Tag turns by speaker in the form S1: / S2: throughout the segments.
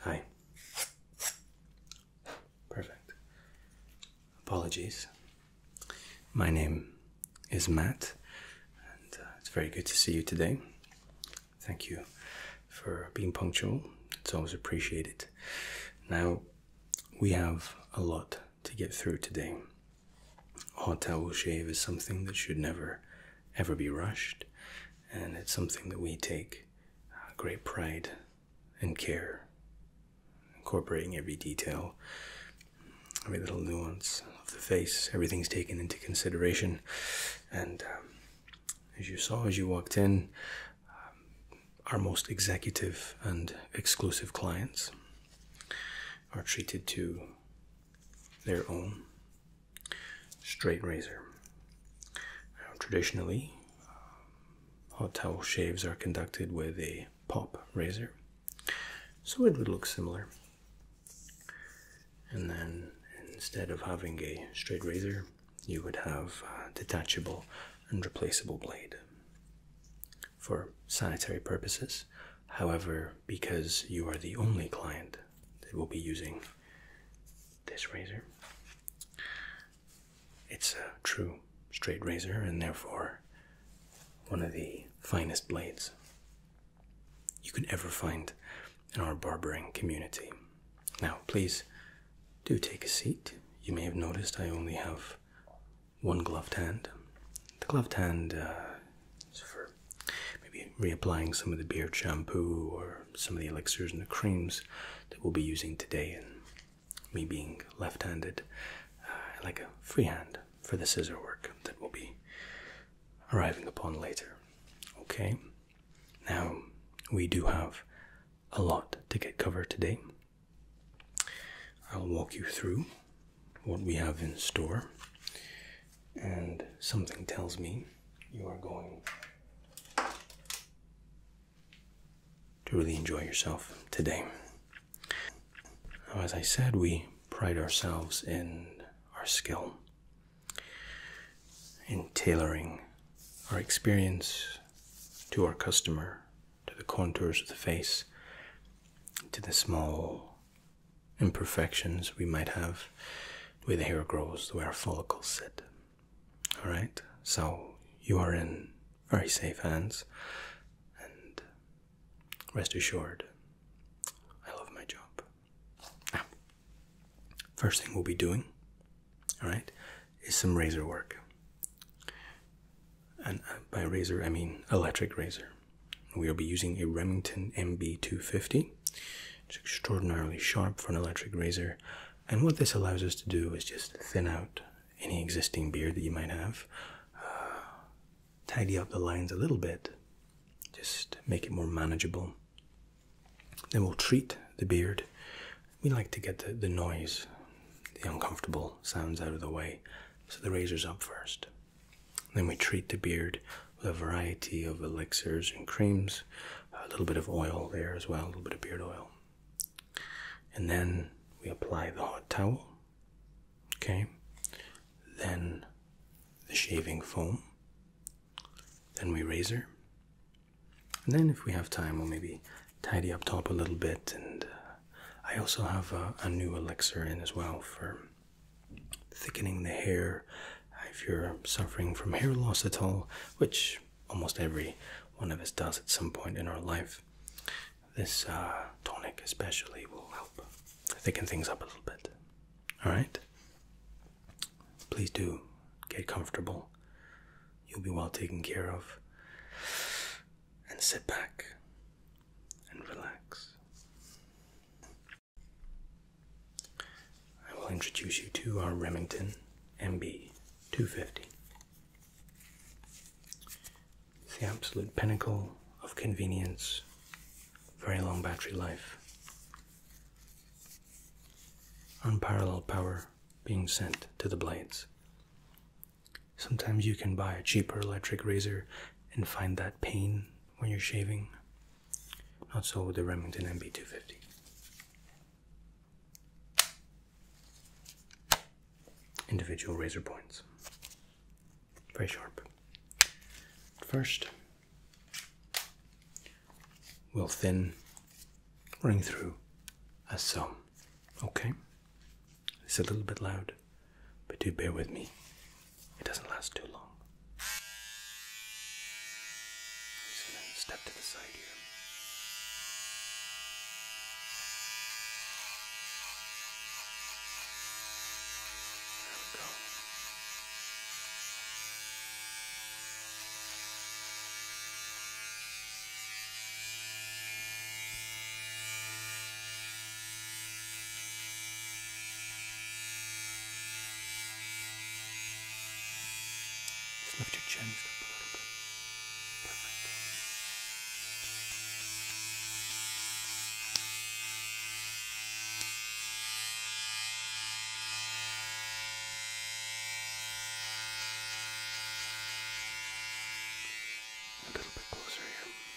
S1: Hi. Perfect. Apologies. My name is Matt, and uh, it's very good to see you today. Thank you for being punctual, it's always appreciated. Now, we have a lot to get through today. Hot towel shave is something that should never, ever be rushed, and it's something that we take uh, great pride and care, incorporating every detail, every little nuance of the face. Everything's taken into consideration, and um, as you saw as you walked in, um, our most executive and exclusive clients are treated to their own straight razor. traditionally, um, hot towel shaves are conducted with a pop razor, so it would look similar. And then instead of having a straight razor, you would have detachable and replaceable blade for sanitary purposes. However, because you are the only client that will be using this razor, it's a true straight razor and therefore one of the finest blades you could ever find in our barbering community. Now, please do take a seat. You may have noticed I only have one gloved hand. The gloved hand uh, is for maybe reapplying some of the beard shampoo or some of the elixirs and the creams that we'll be using today. And me being left handed, I uh, like a free hand for the scissor work that we'll be arriving upon later. Okay, now we do have a lot to get covered today. I'll walk you through what we have in store, and something tells me you are going to really enjoy yourself today. Now, as I said, we pride ourselves in our skill in tailoring our experience to our customer to the contours of the face, to the small imperfections we might have where the hair grows, where our follicles sit. Alright, so you are in very safe hands and rest assured, I love my job. first thing we'll be doing, alright, is some razor work and uh, by razor I mean electric razor. We'll be using a Remington MB250. It's extraordinarily sharp for an electric razor, and what this allows us to do is just thin out any existing beard that you might have, uh, tidy up the lines a little bit, just make it more manageable. Then we'll treat the beard. We like to get the, the noise, the uncomfortable sounds out of the way, so the razor's up first. Then we treat the beard with a variety of elixirs and creams, a little bit of oil there as well, a little bit of beard oil. And then we apply the hot towel, okay? Then the shaving foam, then we razor. And then, if we have time, we'll maybe tidy up top a little bit and uh, I also have a, new elixir in as well for thickening the hair if you're suffering from hair loss at all, which almost every one of us does at some point in our life. This uh, tonic, especially, will help thicken things up a little bit. Alright? Please do get comfortable. You'll be well taken care of. And sit back and relax. I will introduce you to our Remington MB 250. It's the absolute pinnacle of convenience, very long battery life, unparalleled power being sent to the blades Sometimes you can buy a cheaper electric razor and find that pain when you're shaving. Not so with the Remington MB250. Individual razor points. Very sharp. First, we'll thin running through a sum. Okay? It's a little bit loud, but do bear with me. It doesn't last too long. step to the side here. There just lift your chin just up a little bit. Perfect. A little bit closer here.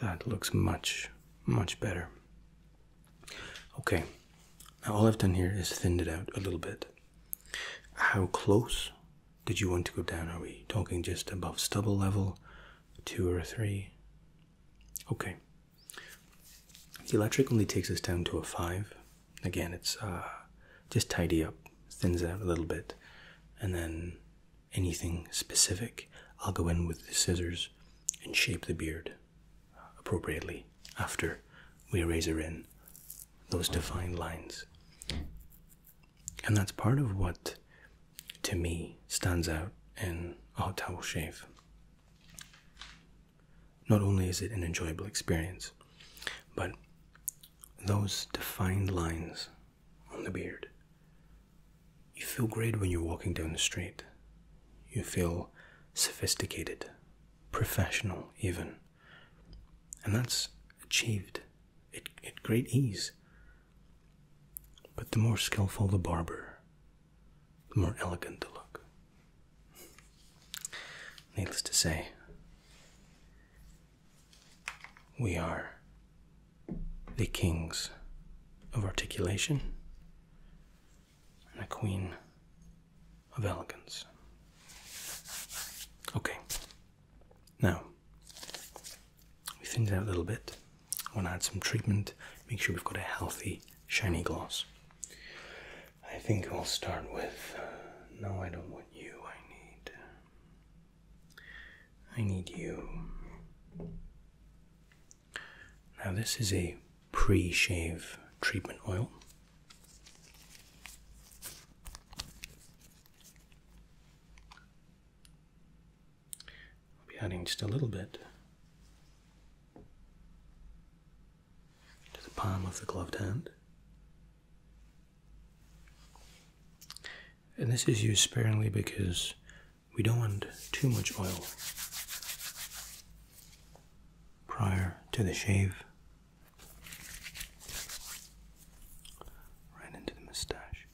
S1: That looks much, much better. Okay, now all I've done here is thinned it out a little bit. How close did you want to go down? Are we talking just above stubble level, two or three? Okay, the electric only takes us down to a five. Again, it's uh, just tidy up, thins it out a little bit, and then anything specific, I'll go in with the scissors and shape the beard appropriately after we razor in those defined lines. And that's part of what, to me, stands out in a hot towel shave. Not only is it an enjoyable experience, but those defined lines on the beard. You feel great when you're walking down the street. You feel sophisticated, professional, even. And that's achieved at, great ease. But the more skilful the barber, the more elegant the look. Needless to say, we are the kings of articulation and the queen of elegance. Okay, now we thinned that a little bit. I want to add some treatment, make sure we've got a healthy, shiny gloss. I think I'll start with. no, I don't want you, I need. I need you. Now, this is a pre shave treatment oil. I'll be adding just a little bit to the palm of the gloved hand and this is used sparingly because we don't want too much oil prior to the shave. Right into the mustache.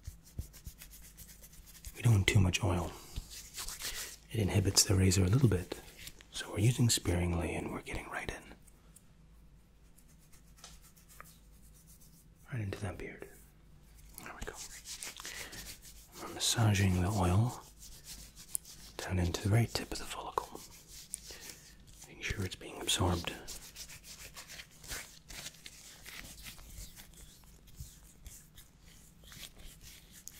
S1: We don't want too much oil. It inhibits the razor a little bit, so we're using sparingly and we're getting right in. Right into that beard. There we go. massaging the oil down into the very tip of the follicle. Making sure it's being absorbed.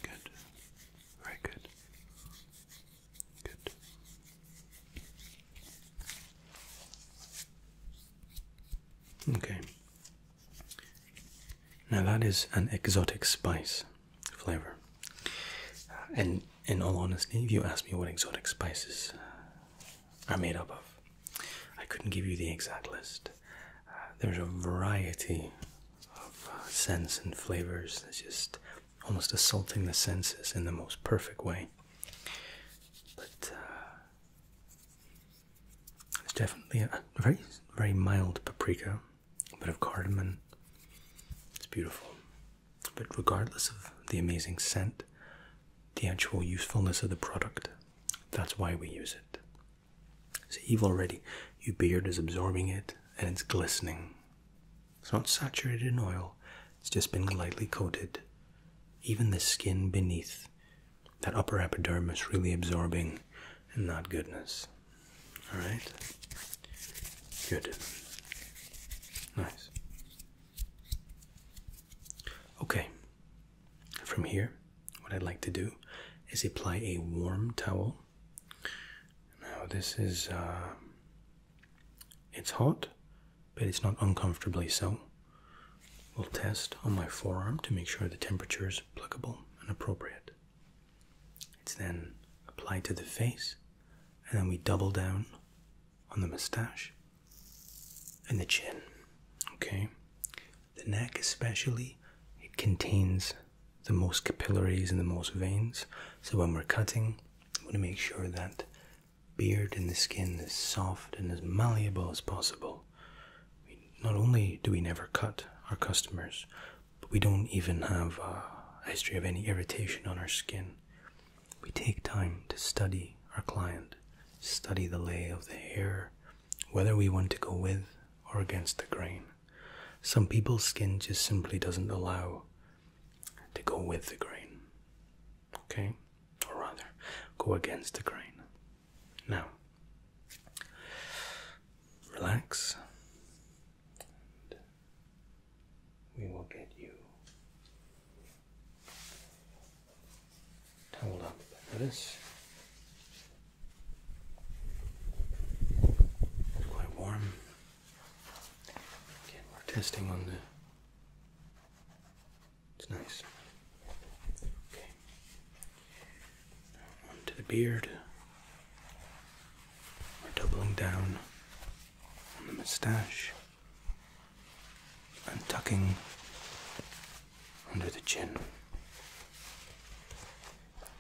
S1: Good. Very good. Good. Okay. Now that is an exotic spice flavor. Uh, and in all honesty, if you ask me what exotic spices uh, are made up of, I couldn't give you the exact list. Uh, there's a variety of scents and flavors that's just almost assaulting the senses in the most perfect way. But uh, it's definitely a very, very mild paprika, a bit of cardamom. It's beautiful. But regardless of the amazing scent, the actual usefulness of the product, that's why we use it. So Eve already, your beard is absorbing it and it's glistening. It's not saturated in oil, it's just been lightly coated even the skin beneath that upper epidermis really absorbing and not goodness. All right? Good. Nice. Okay. From here, what I'd like to do is apply a warm towel. Now, this is, uh, it's hot, but it's not uncomfortably so. We'll test on my forearm to make sure the temperature is applicable and appropriate. It's then applied to the face, and then we double down on the mustache and the chin. Okay? The neck, especially, it contains the most capillaries and the most veins. So when we're cutting, we want to make sure that beard and the skin as soft and as malleable as possible. not only do we never cut our customers, but we don't even have a history of any irritation on our skin. We take time to study our client, study the lay of the hair, whether we want to go with or against the grain. Some people's skin just simply doesn't allow to go with the grain okay, or rather, go against the grain. Now, relax, we will get you Hold up. Notice it's quite warm. Again, we're testing on the it's nice. Okay. onto the beard. We're doubling down on the mustache and tucking under the chin.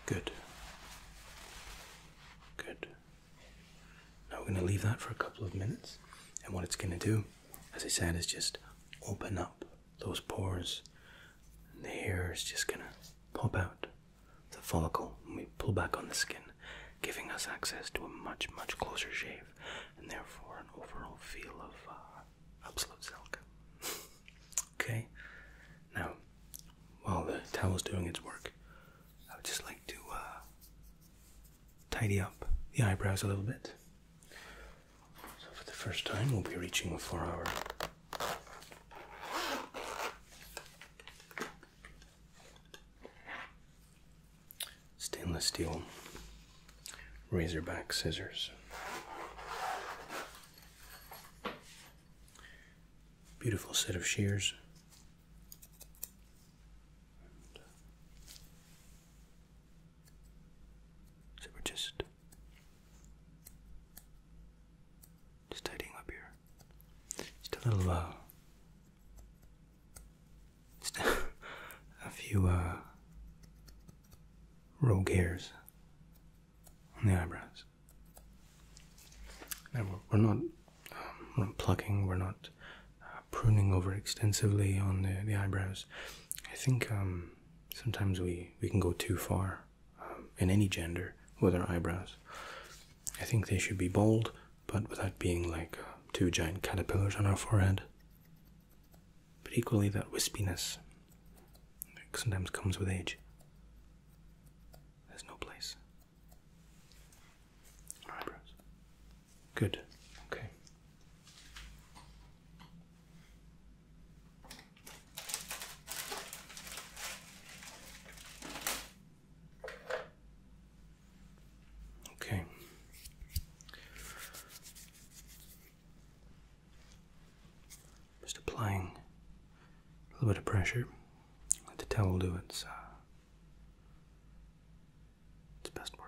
S1: Good. Good. Now we're going to leave that for a couple of minutes, and what it's going to do as I said, is just open up those pores. And the hair is just gonna pop out the follicle and we pull back on the skin, giving us access to a much, much closer shave and therefore an overall feel of uh, absolute silk. okay, now while the towel is doing its work, I would just like to uh, tidy up the eyebrows a little bit. So, for the first time, we'll be reaching for our stainless steel razorback scissors. Beautiful set of shears so we're just just tidying up here. Just a little, uh, just a few uh, rogue hairs on the eyebrows. And um, we're not plucking. We're not. Uh, pruning over extensively on the, the eyebrows. I think um, sometimes we, we can go too far um, in any gender with our eyebrows. I think they should be bold, but without being like uh, two giant caterpillars on our forehead. But equally, that wispiness sometimes comes with age. There's no place. Eyebrows. Good. Okay. Okay. Just applying a little bit of pressure. Let the towel do its uh, its best work.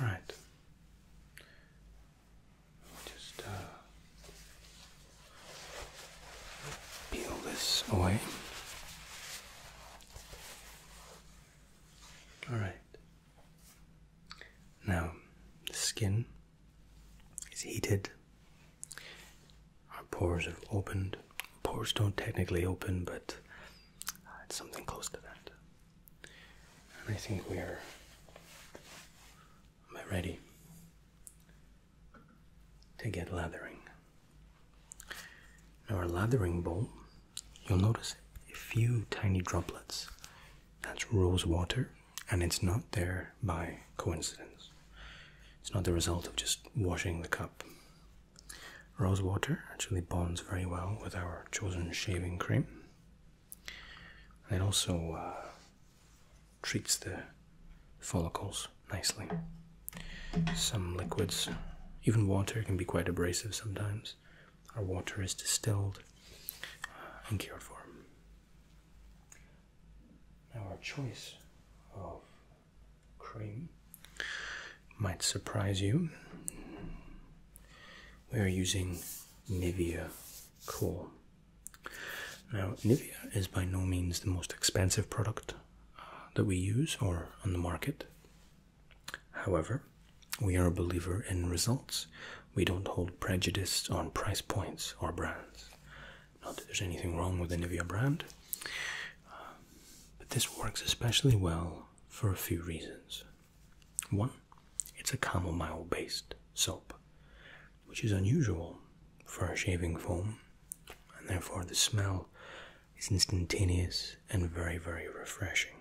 S1: All just uh, peel this away. All right. Now, the skin it's heated. Our pores have opened. Pores don't technically open, but uh, it's something close to that. And I think we are. Am I ready to get lathering? Now, our lathering bowl, you'll notice a few tiny droplets. That's rose water, and it's not there by coincidence. It's not the result of just washing the cup. Rose water actually bonds very well with our chosen shaving cream. And it also uh, treats the follicles nicely. Some liquids, even water, can be quite abrasive sometimes. Our water is distilled uh, and cured for. Now, our choice of cream might surprise you. We are using Nivea Cool. Now, Nivea is by no means the most expensive product uh, that we use or on the market. However, we are a believer in results. We don't hold prejudice on price points or brands. Not that there's anything wrong with any of your brand, um, but this works especially well for a few reasons. One, it's a camomile based soap, which is unusual for a shaving foam, and therefore the smell is instantaneous and very, very refreshing.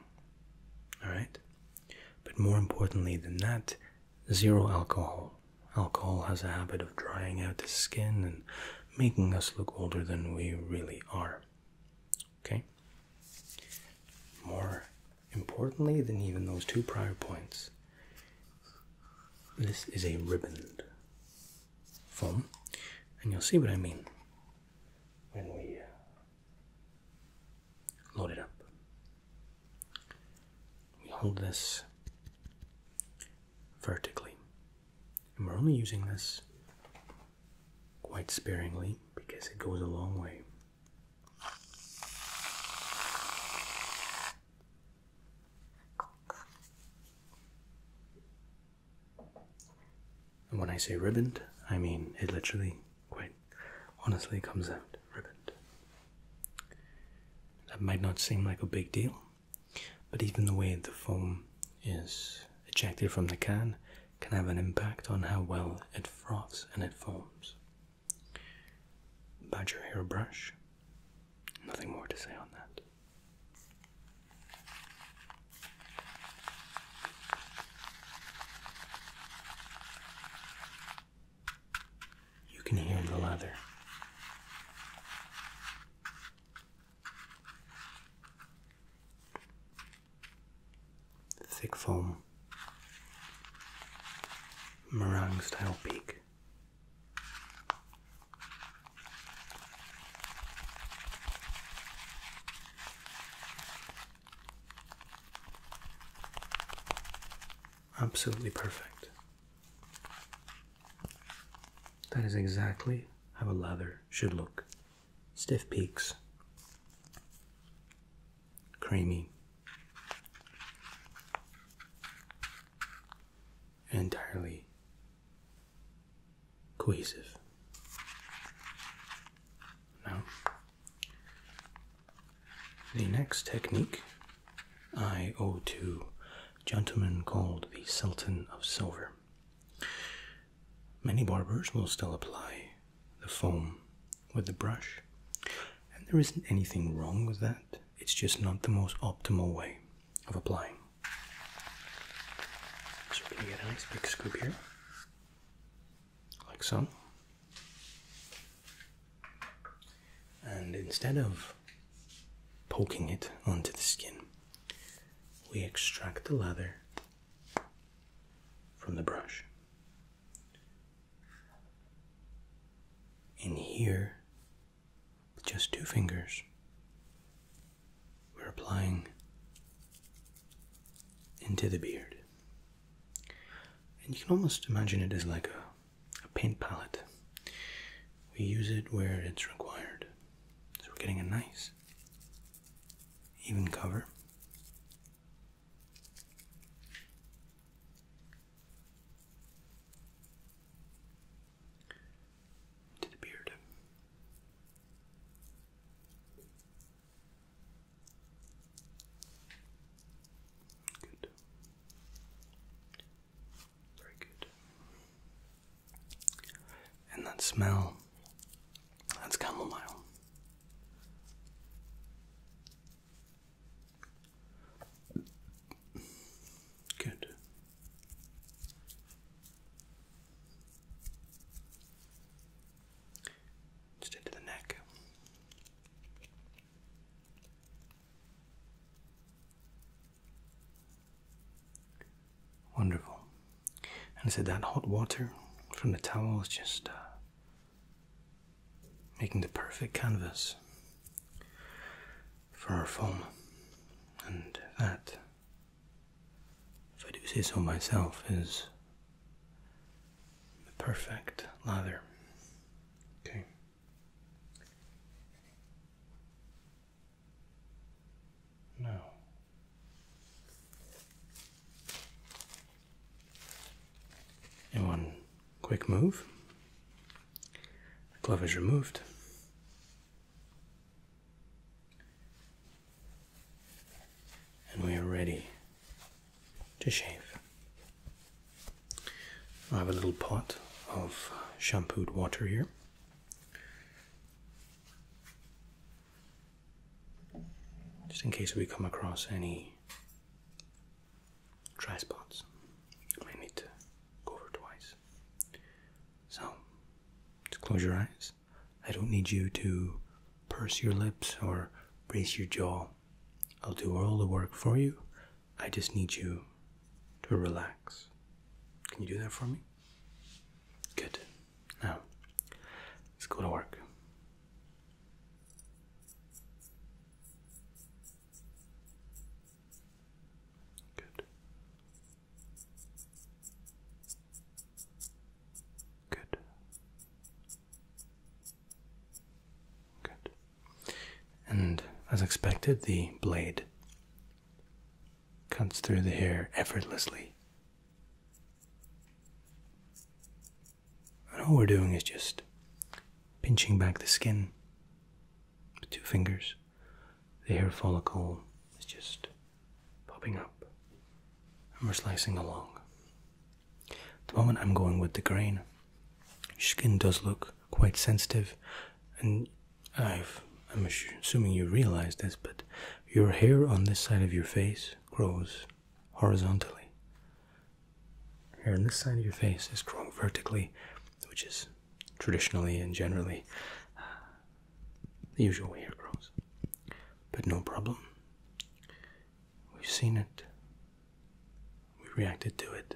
S1: Alright? But more importantly than that, zero alcohol. Alcohol has a habit of drying out the skin and making us look older than we really are. Okay? More importantly than even those two prior points, this is a ribboned foam, and you'll see what I mean when we uh, load it up. We hold this vertically. And we're only using this quite sparingly because it goes a long way. And when I say ribboned, I mean it literally, quite honestly, comes out ribboned. That might not seem like a big deal, but even the way the foam is ejected from the can can have an impact on how well it froths and it foams. Badger hairbrush. Nothing more to say on that. You can hear the leather. Thick foam, meringue style peak. Absolutely perfect. That is exactly how a leather should look. Stiff peaks, creamy, entirely cohesive. Now, the next technique I owe to a gentleman called the Sultan of Silver. Many barbers will still apply the foam with the brush, and there isn't anything wrong with that. It's just not the most optimal way of applying. So, we're get a nice big scoop here, like so. And instead of poking it onto the skin. We extract the leather from the brush. And here, with just two fingers, we're applying into the beard. And you can almost imagine it as like a a paint palette. We use it where it's required. So we're getting a nice, even cover. To the beard. Good. Very good. And that smell, that's chamomile. Good. Just into the neck. Wonderful. And I said that hot water from the towel is just uh, making the perfect canvas for our foam. And that, if I do say so myself, is the perfect lather. Okay. No. In one quick move, the glove is removed. And we are ready to shave. I have a little pot of shampooed water here. Just in case we come across any dry spots, I might need to go over twice. So, just close your eyes. I don't need you to purse your lips or brace your jaw. I'll do all the work for you I just need you to relax. Can you do that for me? Good. Now, let's go to work. Good. Good. Good. And as expected, the blade cuts through the hair effortlessly. And all we're doing is just pinching back the skin with two fingers. The hair follicle is just popping up, and we're slicing along. the moment, I'm going with the grain. skin does look quite sensitive, and i am assuming you realize this, but your hair on this side of your face grows horizontally. Hair on this side of your face is grown vertically, which is traditionally and generally the usual way hair grows. But no problem. We've seen it. We reacted to it.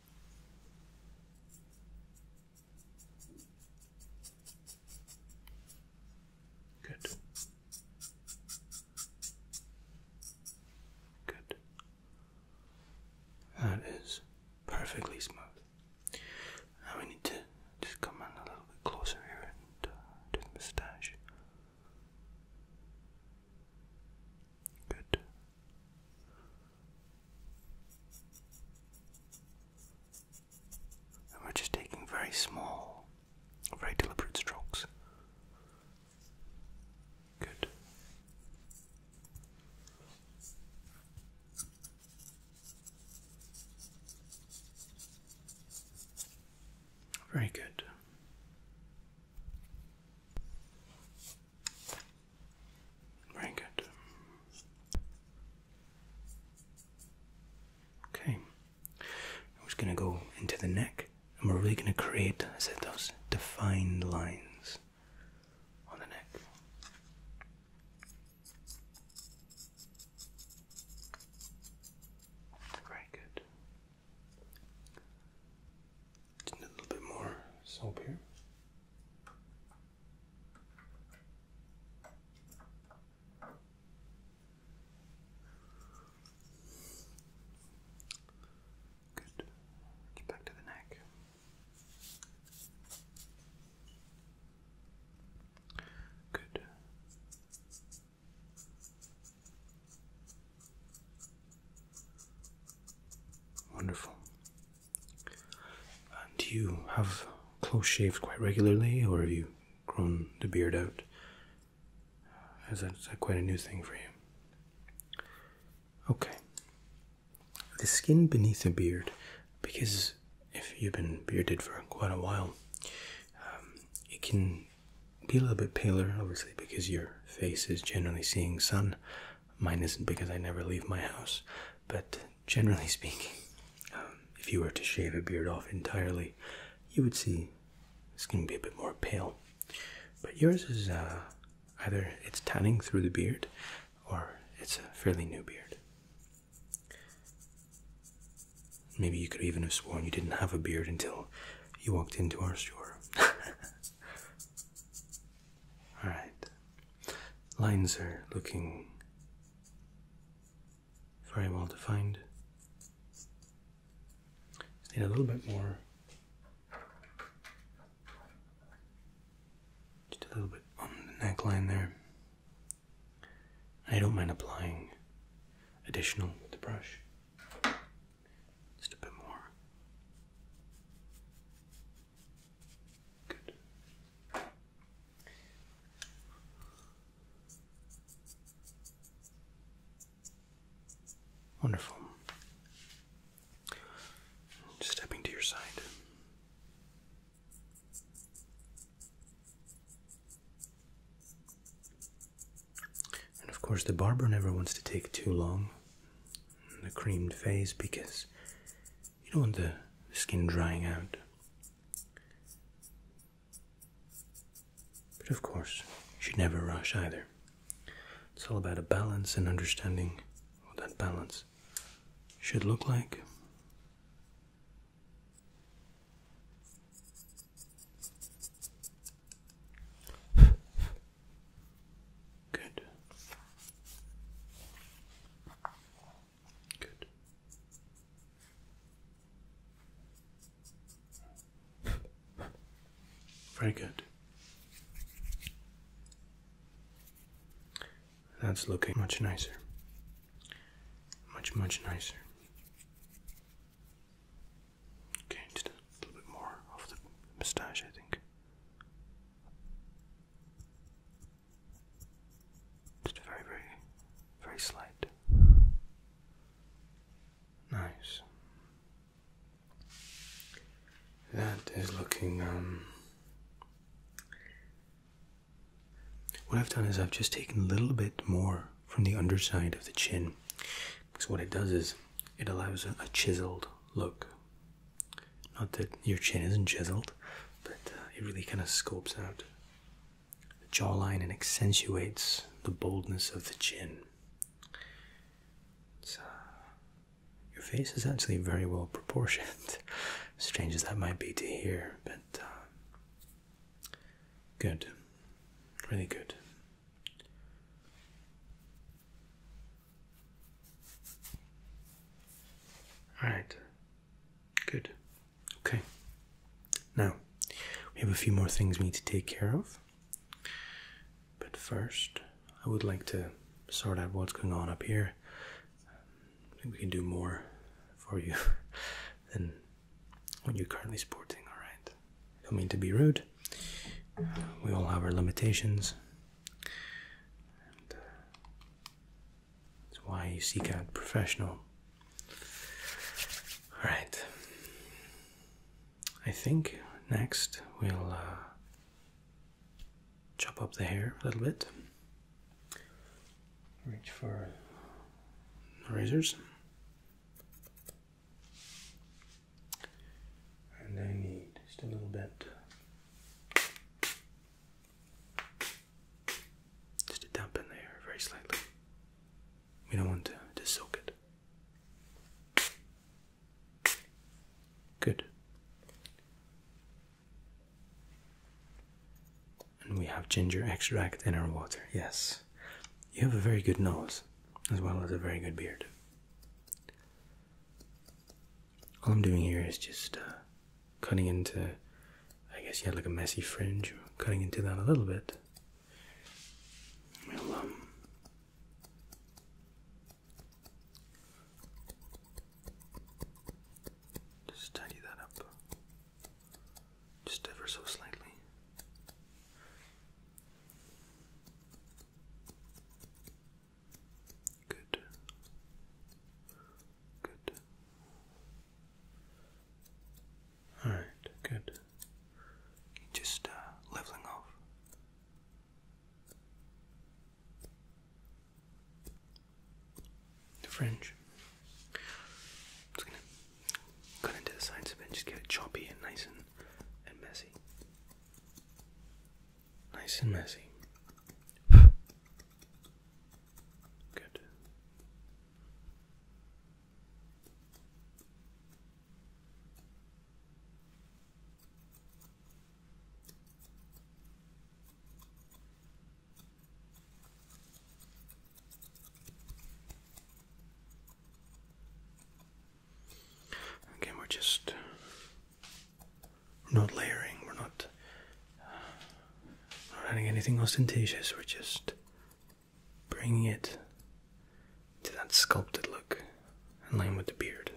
S1: Good. Good. That is perfectly smooth. Now we need to just come in a little bit closer here and uh, do the moustache. Good. we're just taking very small, very deliberate strokes. Good. Very good. Very good. Okay. I'm just going to go into the neck and we're really going to create a set defined lines on the neck. Very good. a little bit more soap here. Good. Get back to the neck. Good. Wonderful. And do you have close shaved quite regularly, or have you grown the beard out? Is that quite a new thing for you? Okay. The skin beneath a beard, because if you've been bearded for quite a while, um, it can be a little bit paler, obviously, because your face is generally seeing sun Mine isn't because I never leave my house, but generally speaking, um, if you were to shave a beard off entirely, you would see it's going to be a bit more pale. But yours is uh, either it's tanning through the beard, or it's a fairly new beard. Maybe you could even have sworn you didn't have a beard until you walked into our store. All right. Lines are looking very well defined. need a little bit more. Just a little bit on the neckline there. I don't mind applying additional with the brush. Just a bit more. Good. Wonderful. stepping to your side. And of course, the barber never wants to take too long the creamed phase because you don't want the skin drying out. But of course, you should never rush either. It's all about a balance and understanding what that balance should look like. Good. Good. Very good. That's looking much nicer. Much, much nicer. Okay, a little bit more of the moustache, I think. Just very, very, very slight. Nice. That is looking, um. What I've done is I've just taken a little bit more from the underside of the chin because what it does is it allows a chiseled look not that your chin isn't chiseled, but uh, it really kind of scopes out the jawline and accentuates the boldness of the chin. Uh, your face is actually very well proportioned, strange as that might be to hear, but uh, good, really good. All right. Good. Okay. Now, we have a few more things we need to take care of. But first, I would like to sort out what's going on up here. we can do more for you than what you're currently sporting, alright? Don't mean to be rude. We all have our limitations, uh, that's why you seek out professional. All right. I think next we'll uh, chop up the hair a little bit. Reach for razors. And I need just a little bit. Just a dump in there very slightly. We don't want to, to soak it. Good. And we have ginger extract in our water, yes. You have a very good nose, as well as a very good beard. All I'm doing here is just uh, cutting into, I guess you had like a messy fringe, cutting into that a little bit. We'll, um, just tidy that up, just ever so slightly. Good. Good. Alright, good. Just uh, leveling off. The fringe. Just gonna cut into the sides of it, just get it choppy and nice and, and messy. Nice and messy. Good. Again, we're just not layering, we're not, not adding anything ostentatious, we're just bringing it to that sculpted look in line with the beard.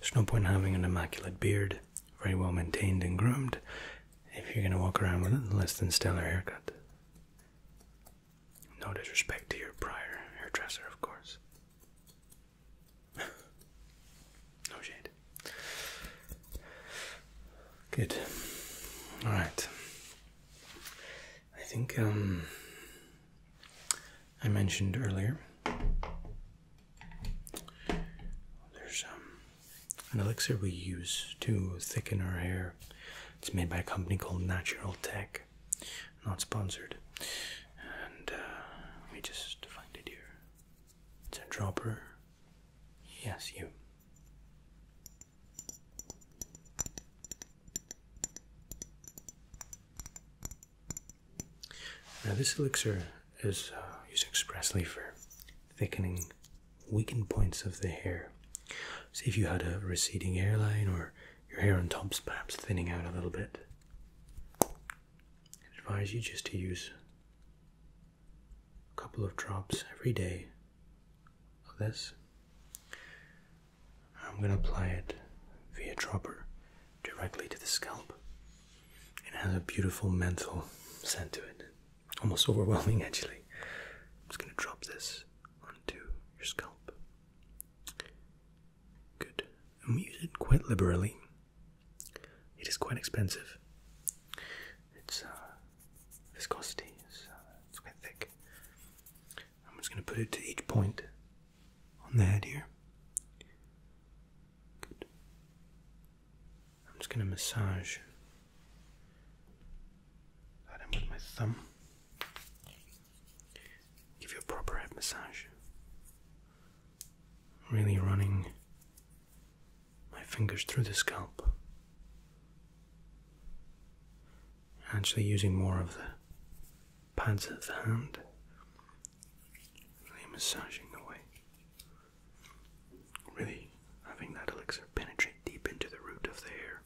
S1: There's no point having an immaculate beard, very well maintained and groomed, if you're going to walk around with a less than stellar haircut. No disrespect to your prior hairdresser, of course. no shade. Good. All right. I think um, I mentioned earlier there's um, an elixir we use to thicken our hair. It's made by a company called Natural Tech. Not sponsored. Uh, let me just find it here. It's a dropper. Yes, you. Now, this elixir is uh, used expressly for thickening weakened points of the hair. So, if you had a receding hairline or your hair on top's perhaps thinning out a little bit, I advise you just to use a couple of drops every day of this. I'm going to apply it via dropper directly to the scalp. It has a beautiful menthol scent to it, almost overwhelming actually. I'm just going to drop this onto your scalp. Good. And we use it quite liberally. It is quite expensive. Its uh, viscosity is uh, it's quite thick. I'm just going to put it to each point on the head here. Good. I'm just going to massage that in with my thumb. Give you a proper head massage. Really running my fingers through the scalp. Actually, using more of the pads of the hand, really massaging away, really having that elixir penetrate deep into the root of the hair.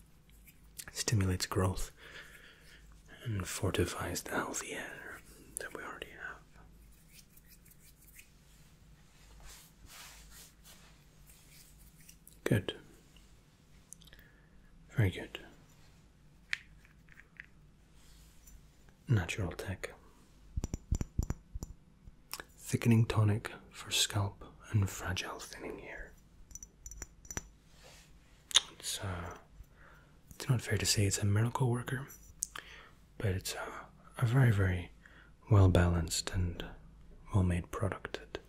S1: stimulates growth and fortifies the healthy hair that we already have. Good. Very good. Natural Tech. Thickening tonic for scalp and fragile thinning hair. It's uh, it's not fair to say it's a miracle worker, but it's uh, a, very very well balanced and well made product that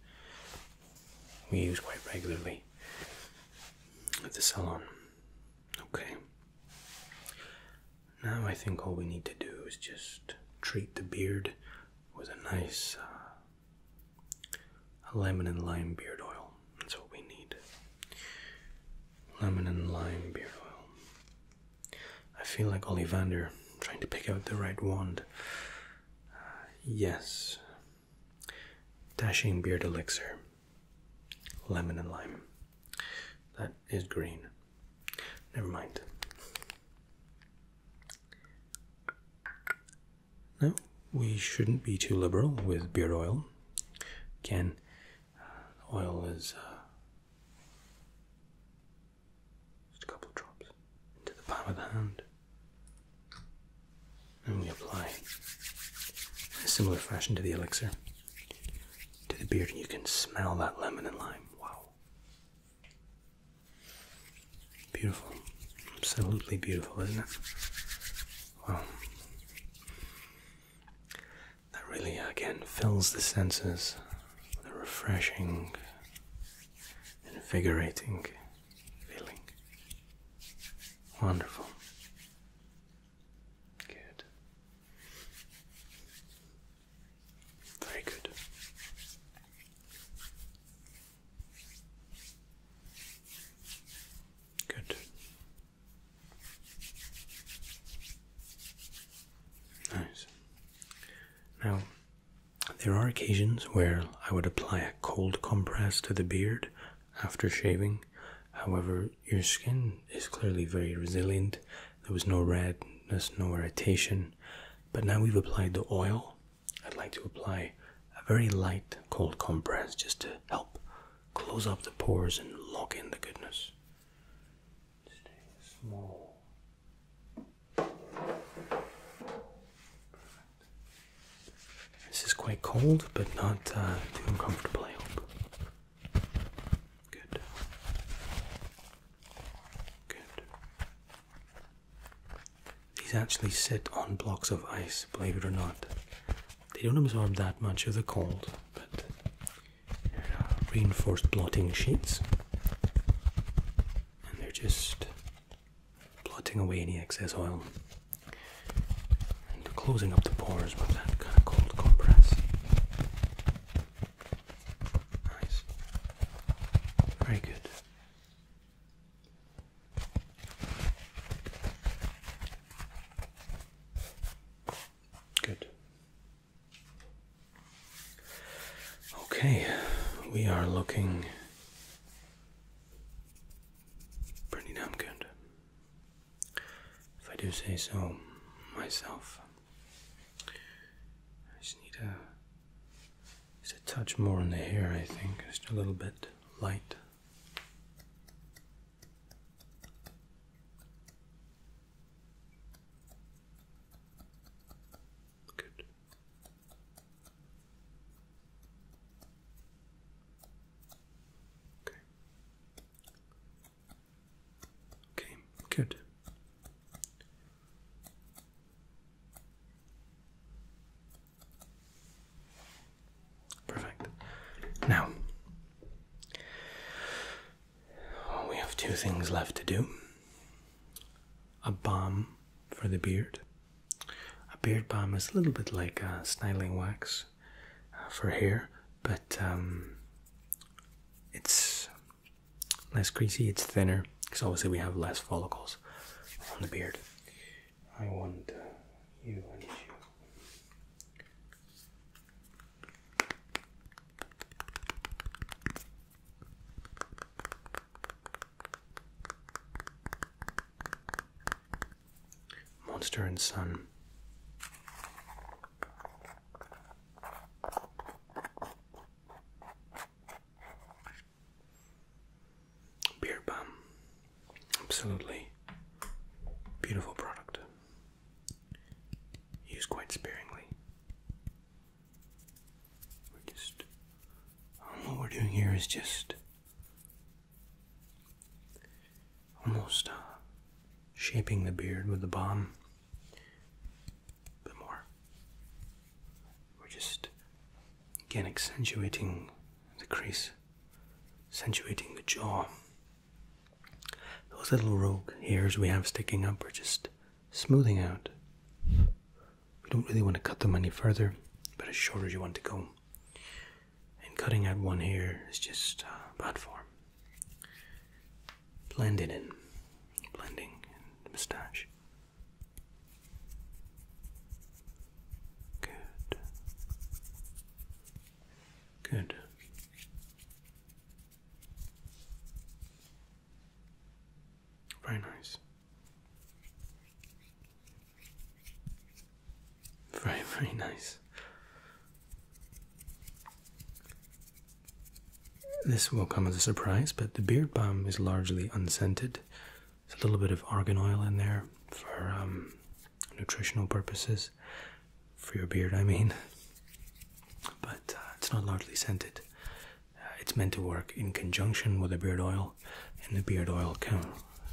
S1: we use quite regularly at the salon. Okay. Now I think all we need to do is just treat the beard with a nice uh, a lemon and lime beard oil. That's what we need. Lemon and lime beard oil. I feel like Olivander trying to pick out the right wand. Uh, yes. Dashing beard elixir. Lemon and lime. That is green. Never mind. No, we shouldn't be too liberal with beard oil. Can uh, oil is uh, just a couple drops into the palm of the hand. And we apply in a similar fashion to the elixir to the beard, and you can smell that lemon and lime. Wow. Beautiful. Absolutely beautiful, isn't it? Wow. That really again fills the senses with a refreshing, invigorating feeling. Wonderful. Good. Very good. Good. Nice. Now, there are occasions where I would apply a cold compress to the beard after shaving. However, your skin is clearly very resilient. There was no redness, no irritation. But now we've applied the oil, I'd like to apply a very light cold compress just to help close up the pores and lock in the goodness. Stay small. This is quite cold, but not uh, too uncomfortable, I hope. Good. Good. These actually sit on blocks of ice, believe it or not. They don't absorb that much of the cold, but reinforced blotting sheets, and they're just blotting away any excess oil and closing up the pores with that kind of cold compress. Nice. Very good. Good. Okay, we are looking pretty damn good. If I do say so myself, I just need a, just a touch more on the hair, I think, just a little bit light. Good. Okay. Okay, good. Perfect. Now, we have two things left to do a balm for the beard. A beard balm is a little bit like a styling wax uh, for hair, but um, it's less greasy, it's thinner, because obviously we have less follicles on the beard. I want you and you. Monster and Son. Beer balm. Absolutely beautiful product. Used quite sparingly. We're just. Um, we're doing here is just almost uh, shaping the beard with the balm. A bit more. We're just again accentuating the crease accentuating the jaw. Those little rogue hairs we have sticking up are just smoothing out. We don't really want to cut them any further, but as short as you want to go. And cutting out one hair is just uh, bad form. Blending in, blending in the moustache. Good. Good. Very nice. Very, very nice. This will come as a surprise, but the beard balm is largely unscented, a little bit of argan oil in there for um, nutritional purposes, for your beard, I mean. But uh, it's not largely scented. Uh, it's meant to work in conjunction with the beard oil, and the beard oil can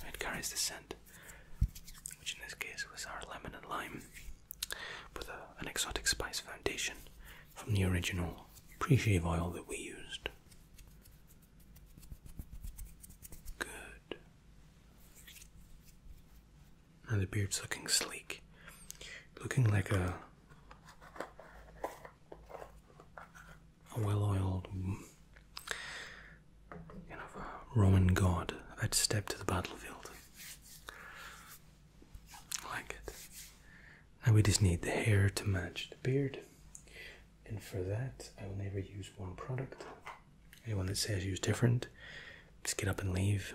S1: it carries the scent, which in this case was our lemon and lime, with an exotic spice foundation from the original pre-shave oil that we used. Good. Now the beard's looking sleek. Looking like a well-oiled kind of Roman god about to step to the battlefield. I like it. Now we just need the hair to match the beard and for that I will never use one product. Anyone that says use different, just get up and leave.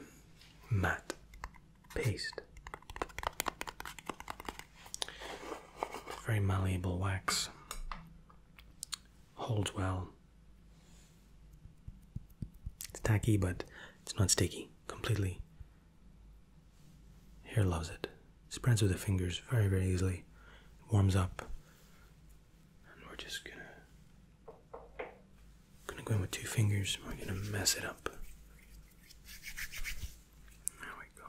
S1: Matte paste. Very malleable wax. Holds well. It's tacky, but it's not sticky completely. Hair loves it. Spreads with the fingers very, very easily. warms up we're just gonna gonna go in with two fingers and we're gonna mess it up. There we go.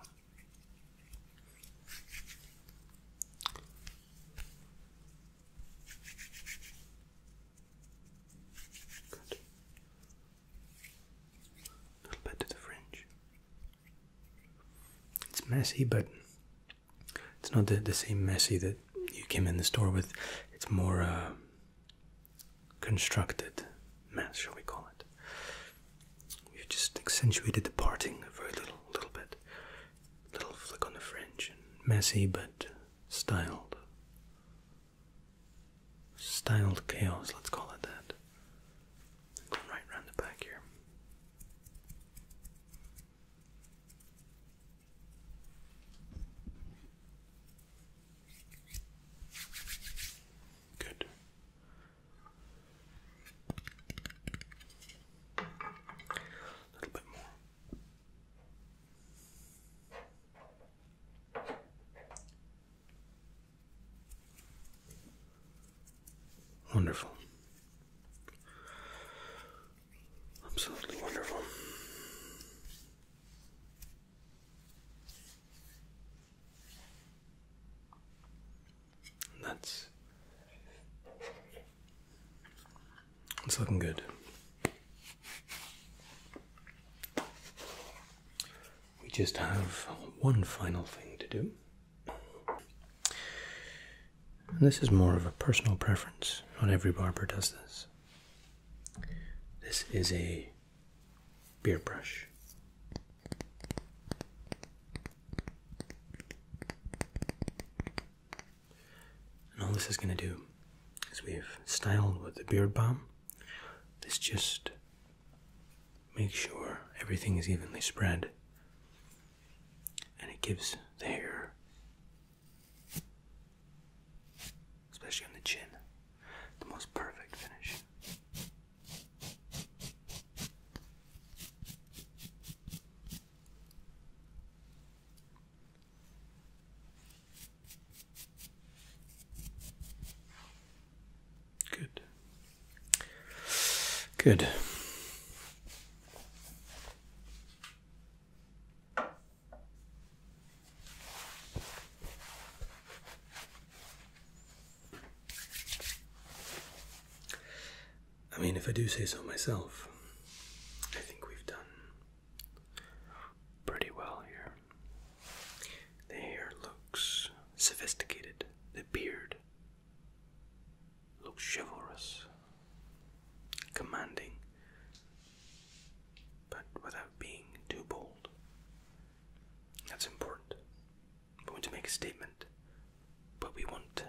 S1: A little bit to the fringe. It's messy, but it's not the, the same messy that you came in the store with. It's more constructed mess, shall we call it. We've just accentuated the parting a very little, little bit. Little flick on the fringe. messy, but styled. Styled chaos, let's call it that. Going right round the back here. Good. A little bit more. Wonderful. Absolutely wonderful. That's it's looking good. We just have one final thing to do. And this is more of a personal preference. Not every barber does this. This is a beard brush. And all this is going to do is we've styled with the beard balm. This just makes sure everything is evenly spread and it gives the hair, especially on the chin, the most perfect finish. Good. Good. I mean, if I do say so myself, I think we've done pretty well here. The hair looks sophisticated, the beard Look chivalrous, commanding, but without being too bold. That's important. We want to make a statement, but we want to,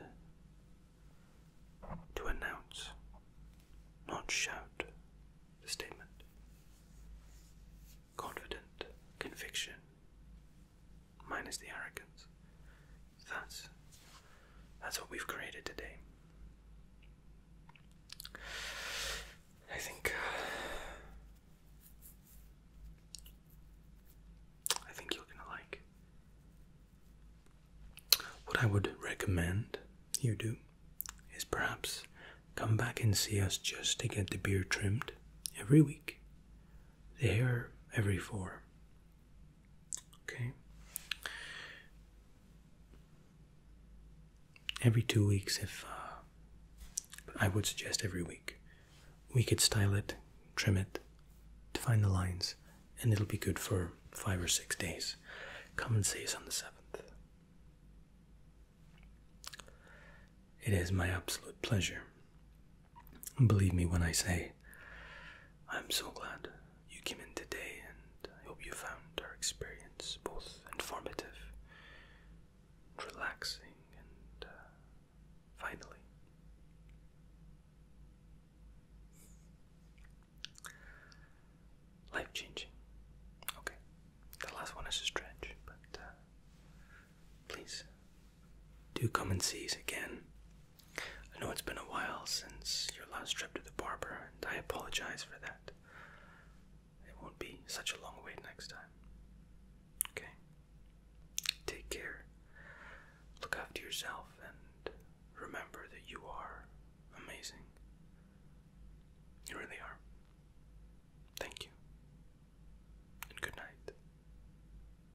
S1: to announce, not shout, the statement. Confident, conviction, minus the arrogance. That's that's what we've created today. I think uh, I think you're gonna like what I would recommend you do is perhaps come back and see us just to get the beard trimmed every week. The hair every four. Okay. Every two weeks, if uh, I would suggest every week, we could style it, trim it, define the lines, and it'll be good for five or six days. Come and see us on the seventh. It is my absolute pleasure. Believe me when I say, I'm so glad you came in today, and I hope you found our experience both informative, relaxing, and uh, finally. Life changing. Okay, the last one is a stretch, but uh, please do come and see us again I know it's been a while since your last trip to the barber, and I apologize for that. It won't be such a long wait next time. Okay? Take care. Look after yourself, and remember that you are amazing. You really are. Thank you. And good night.